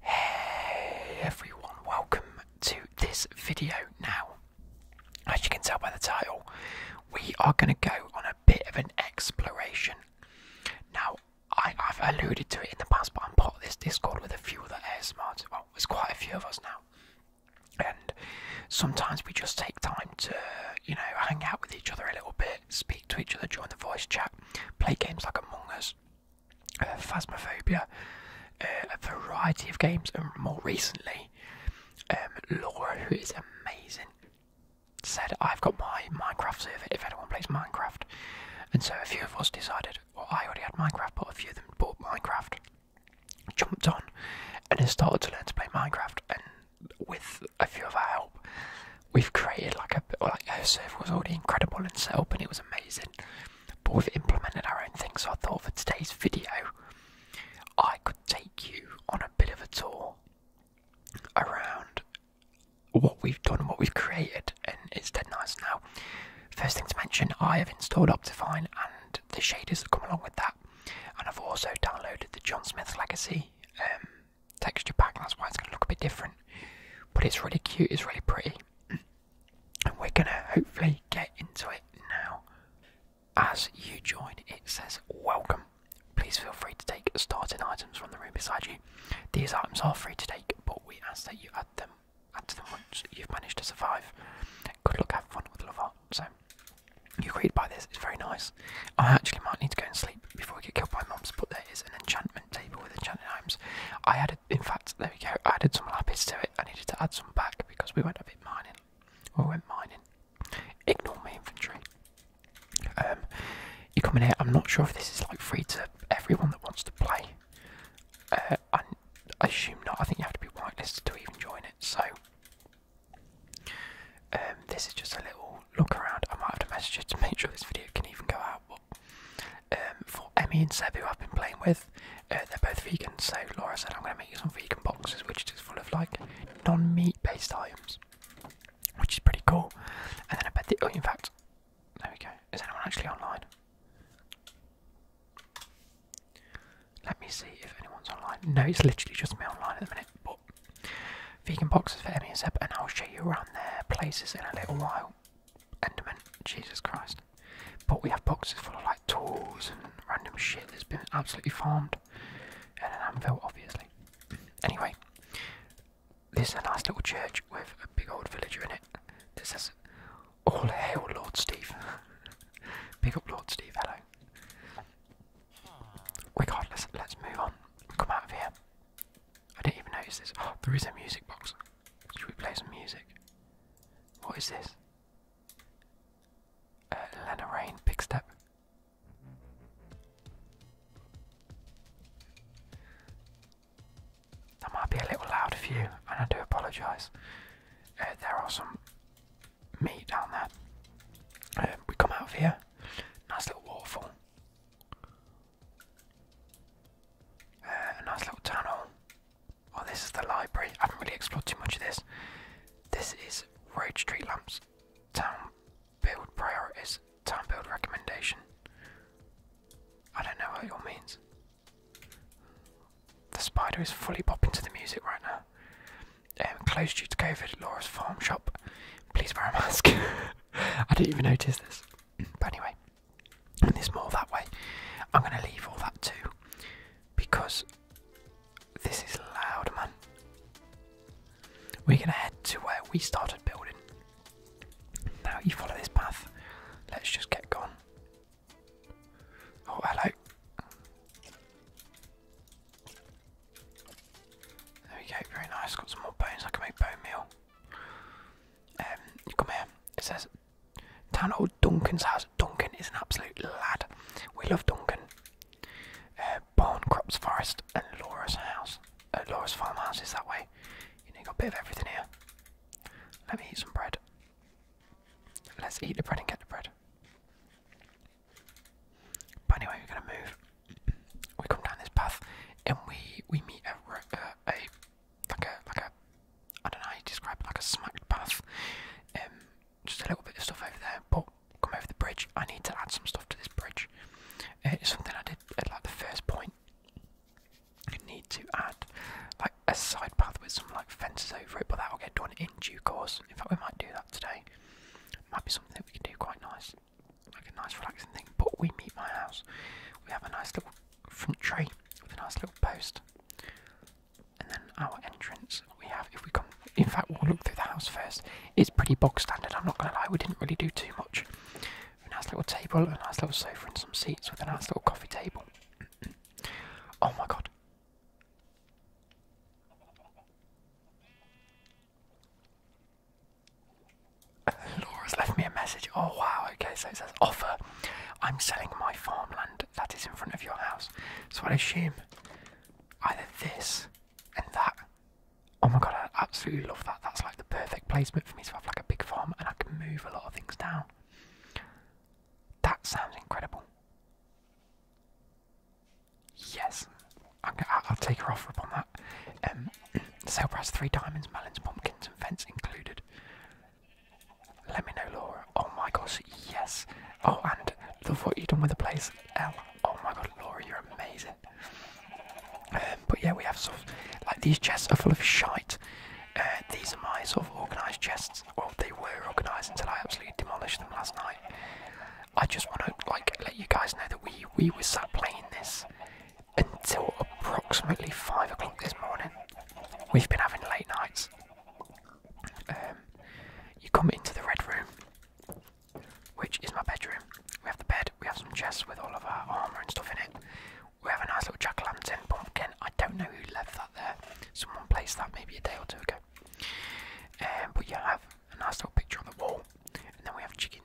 Hey everyone, welcome to this video. Now, as you can tell by the title, we are going to go on a bit of an exploration. Now, I, have alluded to it in the past, but I'm part of this Discord with a few other ASMRs. Well, there's quite a few of us now. And sometimes we just take time to, you know, hang out with each other a little bit, speak to each other during the voice chat, play games like Among Us, Phasmophobia, uh, a variety of games, and more recently, um, Laura, who is amazing, said, I've got my Minecraft server if anyone plays Minecraft. And so a few of us decided, well, I already had Minecraft, but a few of them bought Minecraft, jumped on, and then started to learn to play Minecraft. And with a few of our help, we've created like a like our server was already incredible and set up and it was amazing, but we've implemented our own thing. So I thought for today's video, I could take you on a bit of a tour around what we've done, what we've created, and it's dead nice. Now, first thing to mention, I have installed Optifine and the shaders that come along with that, and I've also downloaded the John Smith Legacy. Um, texture pack, that's why it's going to look a bit different. But it's really cute, it's really pretty. And we're going to hopefully get into it now. As you join, it says welcome. Please feel free to take starting items from the room beside you. These items are free to take, but we ask that you add them add to them once you've managed to survive. Good luck, have fun with love So, you agreed by this, it's very nice. I actually might need to go and sleep before we get killed by mobs, but there is an enchantment table with enchanting items. I added, in fact, there we go, I added some lapis to it. I needed to add some back because we went a bit mining. Well, we went mining. Ignore my inventory. Um, you are coming here, I'm not sure if this is like free to everyone that wants to play. Uh, I, I assume not, I think you have to be whitelisted to even join it, so. Um, this is just a little look around. I might have to message you to make sure this video can even go out um, for Emmy and Seb, who I've been playing with, uh, they're both vegan, so Laura said I'm going to make you some vegan boxes, which is full of like non meat based items, which is pretty cool. And then I bet the. Oh, in fact, there we go. Is anyone actually online? Let me see if anyone's online. No, it's literally just me online at the minute, but vegan boxes for Emmy and Seb, and I'll show you around their places in a little while. Enderman, Jesus Christ. But we have boxes full of like tools and random shit that's been absolutely farmed. And an anvil, obviously. Anyway, this is a nice little church with a big old villager in it This is All hail Lord Steve. Pick up Lord Steve, hello. Regardless, let's move on. Come out of here. I didn't even notice this. Oh, there is a music box. Should we play some music? What is this? Uh, Lana Rain, Big Step. That might be a little loud for you, and I do apologise. Uh, there are some meat down there. Uh, we come out of here. Nice little waterfall. Uh, a nice little tunnel. Oh, this is the library. I haven't really explored too much of this. This is road street lamps, town build priorities, town build recommendation. I don't know what it all means. The spider is fully popping to the music right now. Um, closed due to COVID, Laura's farm shop. Please wear a mask. I didn't even notice this. But anyway, and there's more that way. I'm going to leave all that too because this is loud, man. We're going to head to where we started building. Now you follow this path. Let's just get gone. Oh, hello. There we go, very nice. Got some more bones. I can make bone meal. Um, come here. It says, "Town old Duncan's house." Duncan is an absolute lad. We love Duncan. Uh, Barn, Crops, Forest, and Laura's house. Uh, Laura's farm house is that way. You have got a bit of everything here. Let me eat some bread. Let's eat the bread and get the bread. But anyway, we're gonna move. We come down this path, and we we meet a, uh, a like a like a I don't know how you like a smacked path. Um, just a little bit of stuff over there, but come over the bridge. I need to add some stuff to this bridge. Uh, it's something I did at like the first point. You need to add like a side path with some like fences over it, but that will get done in due course. In fact, we might do that today. Might be something that we can do quite nice like a nice relaxing thing. But we meet my house. We have a nice little front tree with a nice little post, and then our entrance. We have if we come. In fact, we'll look through the house first. It's pretty bog standard. I'm not gonna lie. We didn't really do too much. A nice little table, a nice little sofa, and some seats with a nice little coffee table. oh my god. Laura's left me a message. Oh wow, okay, so it says offer. I'm selling my farmland that is in front of your house. So I'd assume either this and that. Oh my god, I absolutely love that. That's like the perfect placement for me to have like a big farm and I can move a lot of things down. That sounds incredible. Yes, i will take her offer upon that. Um, the sale price three diamonds, melons, pumpkins, and vents included. Let me know, Laura. Oh my gosh, yes. Oh, and love what you've done with the place, L. Oh my god, Laura, you're amazing. Um, but yeah, we have sort of like these chests are full of shite. Uh, these are my sort of organised chests. Well, they were organised until I absolutely demolished them last night. I just want to like let you guys know that we we were sat playing this until approximately five o'clock this morning. We've been having late nights. Um, you come into the red room, which is my bedroom. We have the bed, we have some chests with all of our armour and stuff in it. We have a nice little jack o' lantern Again, I don't know who left that there. Someone placed that maybe a day or two ago. And um, we have a nice little picture on the wall, and then we have chicken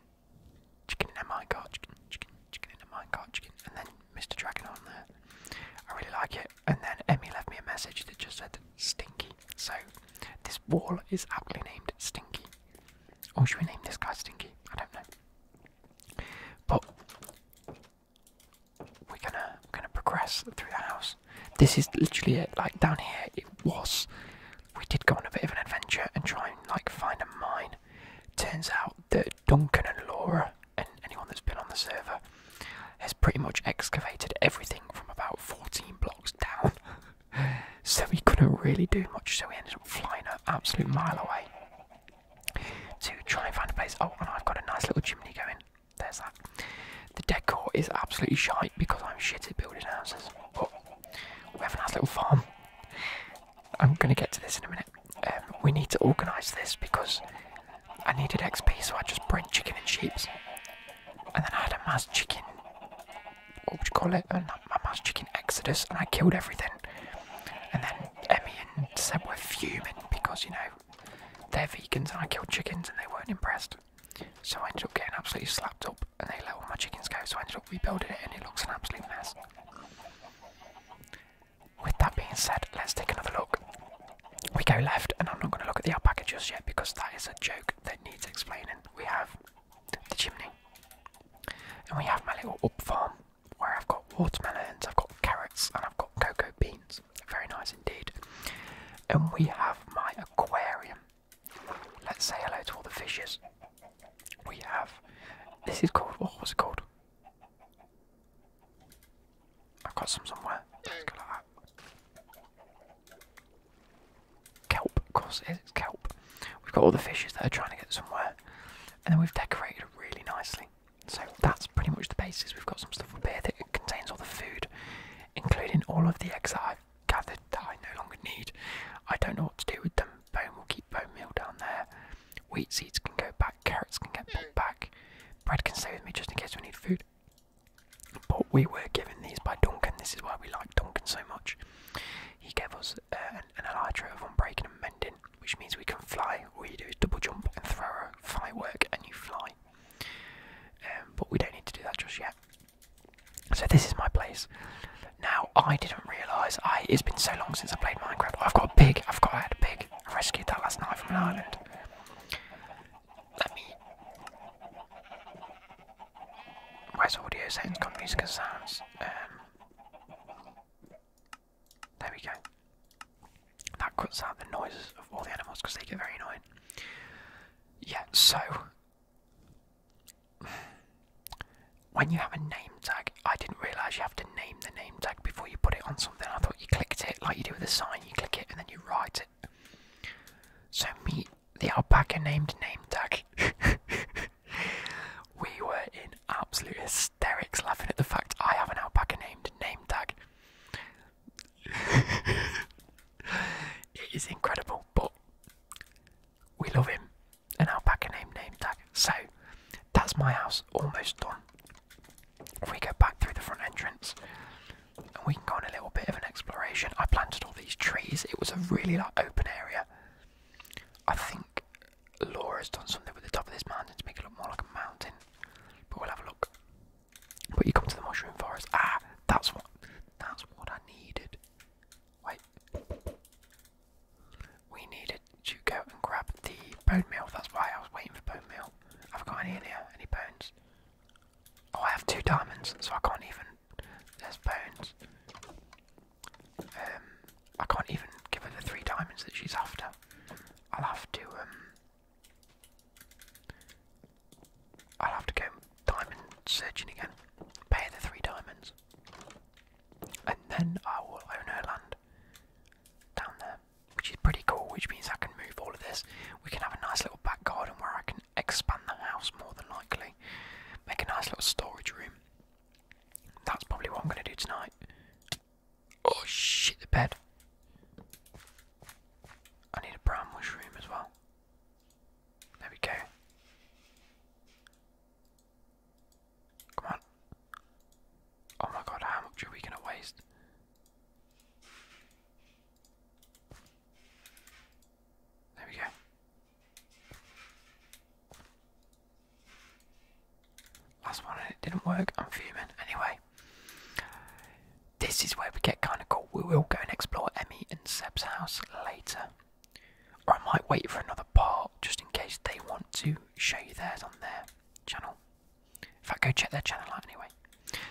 chicken in a minecart, chicken, chicken, chicken in a minecart, chicken, and then Mr. Dragon on there. I really like it. And then Emmy left me a message that just said Stinky. So this wall is aptly named Stinky. Or should we name this guy Stinky? I don't know. But we're gonna we're gonna progress through the house. This is literally it. Like down here, it was. We did go on a bit of an adventure and try and like find a mine, Turns out that Duncan and Laura, and anyone that's been on the server, has pretty much excavated everything from about 14 blocks down. so we couldn't really do much, so we ended up flying an absolute mile away to try and find a place. Oh, and I've got a nice little chimney going. There's that. The decor is absolutely shite because I'm shit at building houses, but we have a nice little farm. I'm going to get to this in a minute. Um, we need to organise this because I needed XP, so I just bred chicken and sheep, And then I had a mass chicken. What would you call it? A mass chicken exodus, and I killed everything. And then Emmy and Sam were fuming because, you know, they're vegans and I killed chickens and they weren't impressed. So I ended up getting absolutely slapped up and they let all my chickens go, so I ended up rebuilding it and it looks an absolute mess. With that being said, let's take another look. We go left, and I'm not going to look at the alpaca just yet because that is a joke that needs explaining. We have the chimney, and we have my little up farm where I've got watermelons, I've got carrots, and I've got cocoa beans. Very nice indeed. And we have my aquarium. Let's say hello to all the fishes we have this is called what was it called? I've got some somewhere. Let's Kelp, of course it is, it's kelp. We've got all the fishes that are trying to get somewhere. And then we've decorated it really nicely. So that's pretty much the basis. We've got some stuff up here that contains all the food, including all of the eggs that I've gathered that I no longer need. I don't know what to do with them. Bone will keep bone meal down there. Wheat seeds can go back. Carrots can get put back. Bread can stay with me just in case we need food. But we were given these by Duncan. This is why we like Duncan so much. He gave us uh, an, elytra of unbreaking and mending, which means we can fly. All you do is double jump and throw a firework, and you fly. Um, but we don't need to do that just yet. So this is my place. Now I didn't realise I it's been so long since I played Minecraft. I've got a pig, I've got I had pig. I rescued that last night from an island. Let me Where's audio settings gone music sounds? Um, there we go. That cuts out the noises of all the animals because they get very annoying. Yeah, so when you have a name tag, I didn't realise you have to name the name tag before you put it on something. I thought you clicked it like you do with a sign, you click it and then you write it. So, meet the alpaca named name tag. we were in absolute hysterics laughing at the fact I have an alpaca named name tag. it is incredible, but we love him an alpaca name name tag. So that's my house almost done. If we go back through the front entrance and we can go on a little bit of an exploration. I planted all these trees. It was a really like open area. I think Laura's done something with the top of this mountain to make it look more like a mountain. But we'll have a look. But you come to the mushroom forest. Ah, that's what that's what I needed. Wait. We needed to go and grab the bone meal, that's why I was waiting for bone meal. Have got any here? Any bones? Oh, I have two diamonds, so I can't even. There's bones. Um, I can't even give her the three diamonds that she's after. I'll have to, um. I'll have to go diamond searching again. Pay the three diamonds. And then I will own her land down there, which is pretty cool, which means I can move all of this. We can have a nice little back garden where I can expand the house more than likely. Make a nice little storage room. That's probably what I'm going to do tonight. Oh shit, the bed. I need a brown mushroom as well. There Come on. Oh my god, how much are we gonna waste? There we go. Last one and it didn't work. I'm fuming. Anyway, this is where we get kind of cool. We will go and explore Emmy and Seb's house later. Or I might wait for another part just in case they want to show you theirs on their channel. In fact, go check their channel out anyway.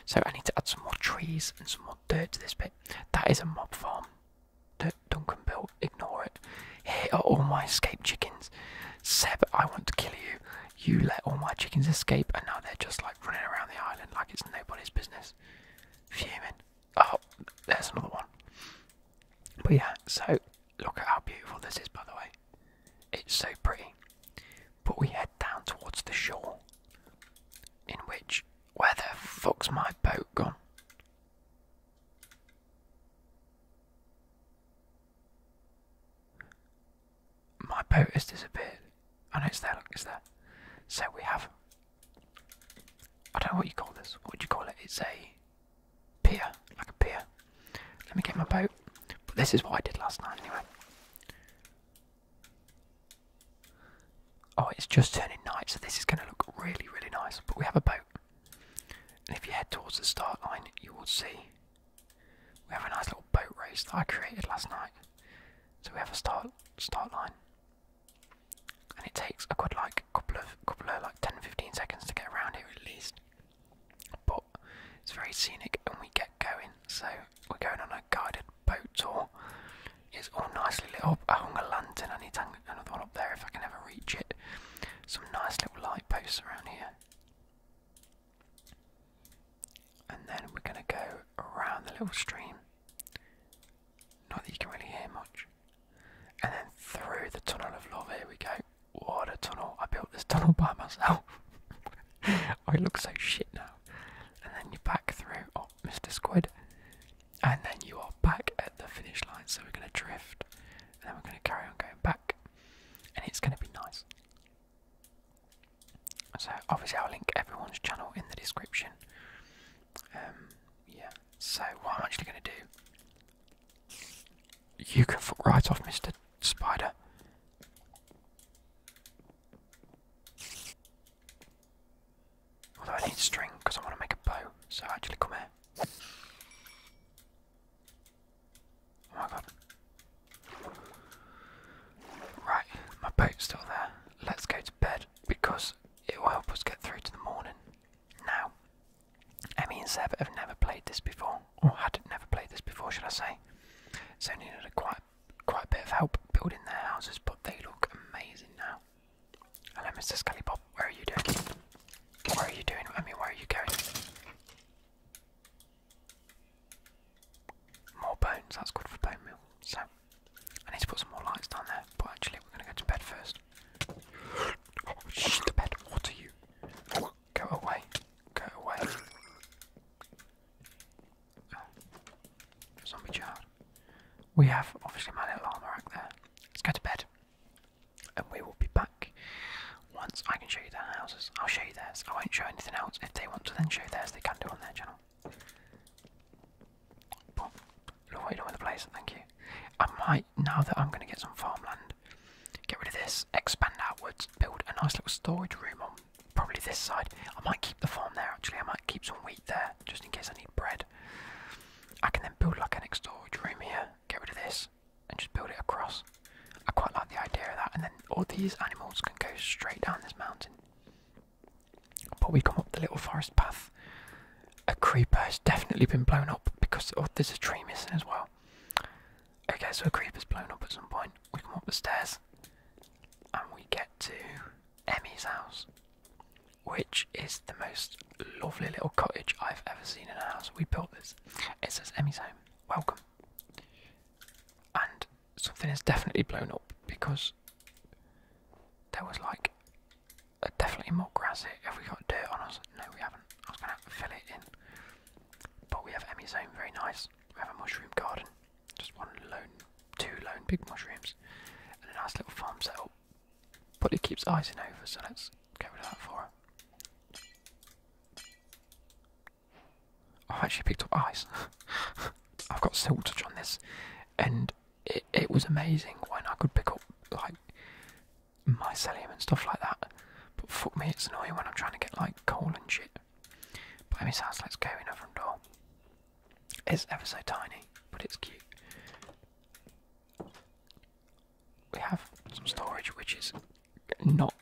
So I need to add some more trees and some more dirt to this bit. That is a mob farm that Duncan built. Ignore it. Here are all my escaped chickens. Seb, I want to kill you. You let all my chickens escape, and now they're just like running around the island like it's nobody's business. Fuming. Oh, there's another one. But yeah, so Look at how beautiful this is, by the way. It's so pretty. But we head down towards the shore, in which. Where the fuck's my boat gone? My boat has disappeared. Oh no, it's there, look, it's there. So we have. I don't know what you call this. What would you call it? It's a pier, like a pier. Let me get my boat. But this is what I did last night anyway. Oh, it's just turning night, so this is going to look really, really nice. But we have a boat. And if you head towards the start line, you will see we have a nice little boat race that I created last night. So we have a start start line. And it takes a good like couple of couple of like 10 seconds to get around here at least. But it's very scenic and we get going. So we're going on a guided boat tour. It's all nicely lit up. I hung a lantern. I need to hang another one up there if I can ever reach it. Some nice little light posts around here. And then we're going to go around the little stream. Not that you can really hear much and then through the tunnel of love. Here we go. What a tunnel! I built this tunnel by myself. oh, it looks so shit now. And then you back through. Oh, Mr. Squid. And then you are back at the finish line. So we're gonna drift, and then we're gonna carry on going back, and it's gonna be nice. So obviously I'll link everyone's channel in the description. Um, yeah. So what I'm actually gonna do you can fuck right off, Mr. Spider. Although I need string because I want to make a bow, so actually come here. Oh my Right, my boat's still there. Let's go to bed because it will help us get through to the morning. Now, I mean, Seb have never played this before, or had never played this before, should I say? So needed quite quite a bit of help building their houses, but they look amazing now. Hello, Mr. Skellybob. Where are you doing? Where are you doing? I mean, where are you going? More bones. That's good for bone meal. So I need to put some more lights down there. But actually, we're going to go to bed first. Oh, shh, the bed. What are you? Go away. Go away. Zombie child. We have obviously my little armor rack there. Let's go to bed. And we will be back once I can show you their houses. I'll show you theirs. I won't show anything else. If they want to then show theirs, they can do on their channel. Lloyd with a blazer, thank you. I might, now that I'm going to get some farmland, get rid of this, expand outwards, build a nice little storage room on probably this side. I might keep the farm there actually, I might keep some wheat there just in case I need bread. I can then build like an storage room here, get rid of this, and just build it across. I quite like the idea of that, and then all these animals can go straight down this mountain. But we come up the little forest path a creeper has definitely been blown up because oh, there's a tree missing as well. Okay, so a creeper's blown up at some point. We come up the stairs and we get to Emmy's house, which is the most lovely little cottage I've ever seen in a house. We built this. It says Emmy's home. Welcome. And something is definitely blown up because there was like definitely more grass here. Have we got dirt on us? No, we haven't. I was going to fill it in. But we have Emmy's own, very nice. We have a mushroom garden. Just one lone, two lone big mushrooms. And a nice little farm setup. But it keeps icing over, so let's get rid of that for it. I've actually picked up ice. I've got silk touch on this. And it was amazing when I could pick up, like, mycelium and stuff like that. But fuck me, it's annoying when I'm trying to get like coal and shit. But Emmy's house, let's go in her front door. It's ever so tiny, but it's cute. We have some storage which is not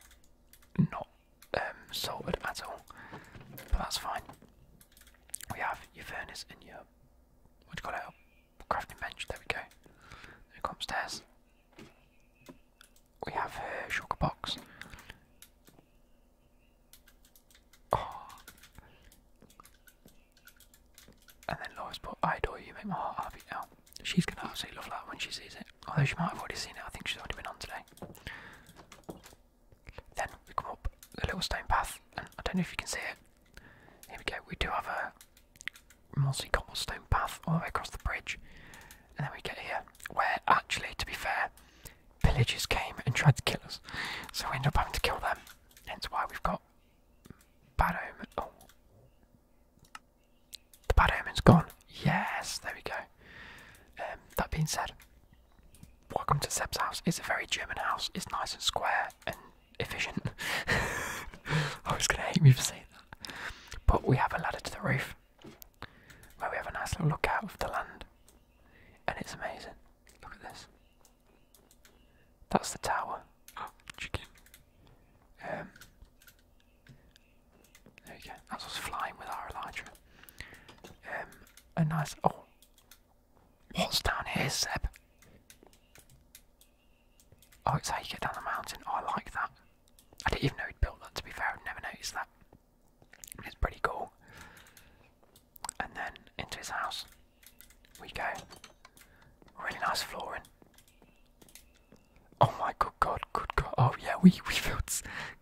not um, sorted at all, but that's fine. We have your furnace and your what do you call it? crafting bench, there we go. Then we go upstairs. We have a sugar box. Oh. And then Laura's put, I adore you, make my heart happy now. Oh, she's gonna absolutely love that when she sees it. Although she might have already seen it, I think she's already been on today. Then we come up a little stone path, and I don't know if you can see it, here we go, we do have a mossy cobblestone path all the way across the bridge. And then we get here, where actually, to be fair, villagers came and tried to kill us. So we ended up having to kill them. Hence why we've got bad omen. Oh. The bad omen's gone. Yes, there we go. Um, that being said, welcome to Seb's house. It's a very German house. It's nice and square and efficient. I was going to hate me for saying that. But we have a ladder to the roof where we have a nice little lookout of the land. And it's amazing. Look at this. That's the tower. Oh, chicken. Um, there you go. That's us flying with our Elytra. Um, a nice. Oh! What's down here, Seb? Oh, it's how you get down the mountain. Oh, I like that. I didn't even know he'd built that, to be fair. I'd never noticed that. It's pretty cool. And then into his house we go. Really nice flooring. Oh my good god, good god. Oh yeah, we, we filled,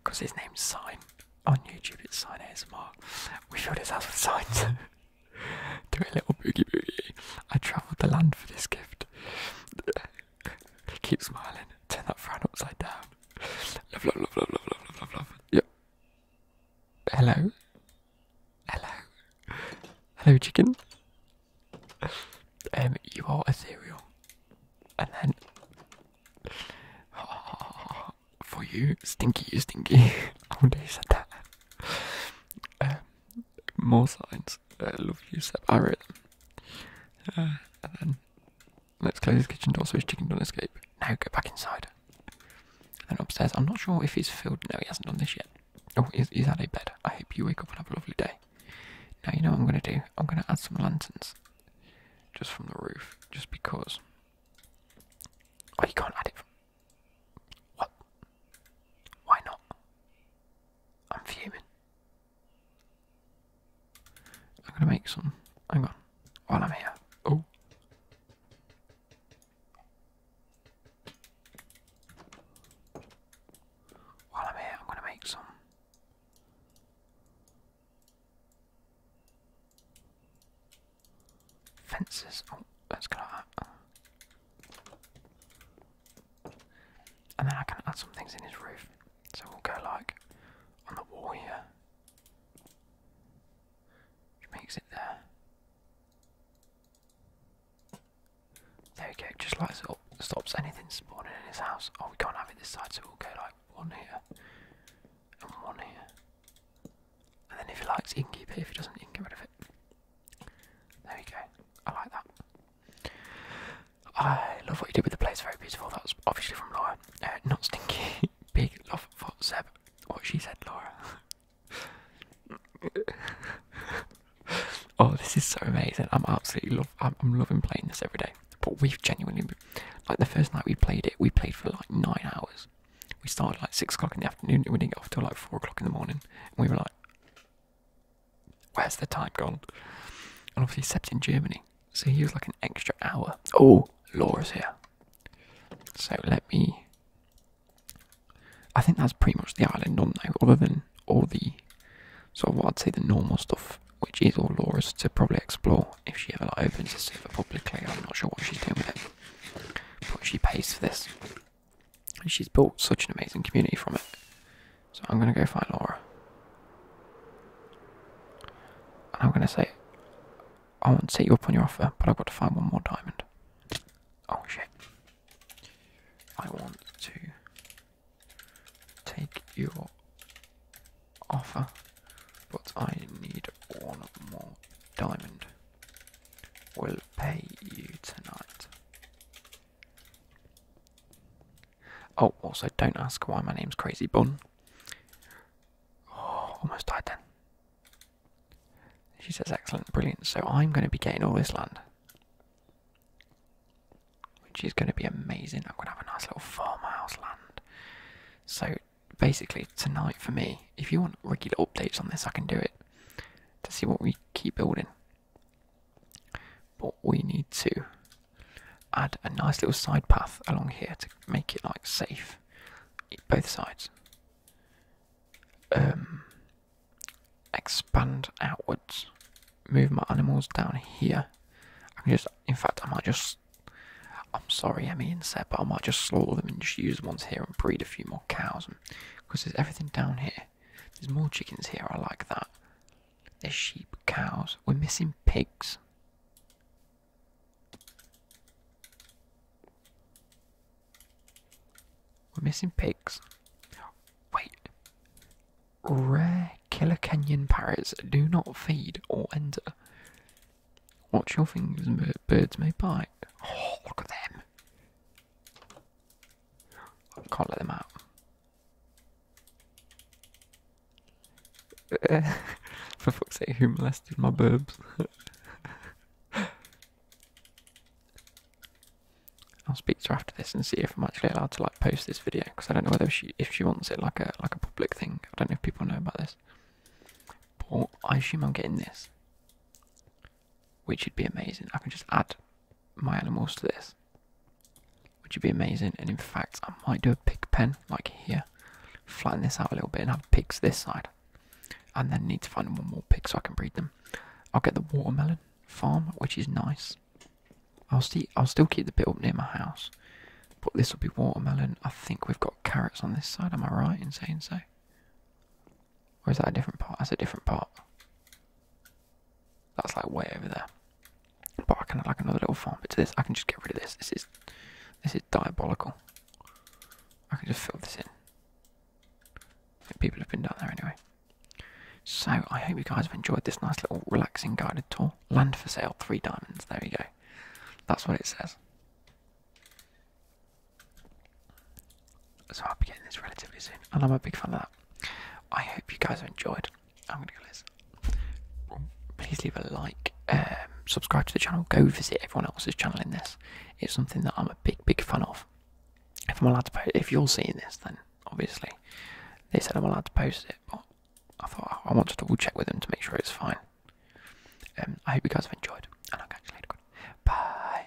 because his name's Sign. On YouTube it's Sign ASMR. We filled his house with signs. Do a little boogie boogie. I travelled the land for this gift. Keep smiling. Turn that frown upside down. Love, love, love, love, love, love, love, love. Yep. Hello. Hello. Hello, chicken. Um, you are ethereal. And then. for you, stinky, you stinky. I wonder who said that. Um, more signs. I uh, love you, Seb. I wrote them. and then, let's close his kitchen door so his chicken don't escape. Now go back inside. And upstairs, I'm not sure if he's filled. No, he hasn't done this yet. Oh, he's, he's a bed. I hope you wake up and have a lovely day. Now, you know what I'm going to do? I'm going to add some lanterns. Just from the roof. Just because. Oh, you can't add it. What? Why not? I'm fuming. I'm gonna make some. Hang on. While I'm here. Oh. While I'm here, I'm gonna make some. Fences. Oh, let's go like that. And then I can add some things in his roof. So we'll go like on the wall here. Which makes it there. There we go, just lights it stops anything spawning in his house. Oh, we can't have it this side, so we'll go like one here and one here. And then if he likes, he can keep it. If he doesn't, he can get rid of it. There we go. I like that. I love what you did with the place. Very beautiful. That's obviously from Laura. Uh, not stinky. Big love for Seb. What she said, Laura. oh, this is so amazing. I'm absolutely love. I'm, loving playing this every day. But we've genuinely, like the first night we played it, we played for like nine hours. We started like six o'clock in the afternoon and we didn't get off till like four o'clock in the morning. And we were like, Where's the time gone? And obviously, set in Germany, so he was like an extra hour. Oh, Laura's here. So let me. I think that's pretty much the island on now, other than all the sort of what I'd say the normal stuff, which is all Laura's to probably explore if she ever opens this server publicly. I'm not sure what she's doing with it, but she pays for this. And she's built such an amazing community from it. So I'm going to go find Laura. And I'm going to say, I want to set you up on your offer, but I've got to find one more diamond. Oh shit. I want to take your offer, but I need one more diamond will pay you tonight. Oh, also, don't ask why my name's Crazy Bun. Oh, almost died then. She says, excellent, brilliant. So I'm going to be getting all this land. Which is going to be amazing. I'm going to have a nice little farmhouse land. So basically, tonight for me, if you want regular updates on this, I can do it. To see what we keep building. But we need to add a nice little side path along here to make it like safe. Both sides. Um, expand outwards. Move my animals down here. I can just, in fact, I might just. I'm sorry, Emmy and Seb, but I might just slaughter them and just use the ones here and breed a few more cows. Because there's everything down here there's more chickens here, I like that. There's sheep, cows. We're missing pigs. We're missing pigs. Wait. Rare Killer Canyon parrots do not feed or enter. Watch your fingers, birds may bite. Oh, look at them. Can't let them out. For fuck's sake, who molested my boobs? I'll speak to her after this and see if I'm actually allowed to like post this video because I don't know whether she if she wants it like a like a public thing. I don't know if people know about this. But I assume I'm getting this which would be amazing. I can just add my animals to this, which would be amazing. And in fact, I might do a pig pen like here, flatten this out a little bit and have pigs this side, and then need to find one more pig so I can breed them. I'll get the watermelon farm, which is nice. I'll see. I'll still keep the bit up near my house, but this will be watermelon. I think we've got carrots on this side. Am I right in saying so? Or is that a different part? That's a different part. That's like way over there. But I can add like another little farm bit to this. I can just get rid of this. This is this is diabolical. I can just fill this in. people have been down there anyway. So I hope you guys have enjoyed this nice little relaxing guided tour. Land for sale, three diamonds. There you go. That's what it says. So I'll be getting this relatively soon, and I'm a big fan of that. I hope you guys have enjoyed. I'm gonna go Please leave a like, um, subscribe to the channel, go visit everyone else's channel in this. It's something that I'm a big, big fan of. If I'm allowed to post, if you're seeing this, then obviously they said I'm allowed to post it, but I thought oh, I wanted to double check with them to make sure it's fine. Um, I hope you guys have enjoyed, and I'll catch you later. Bye.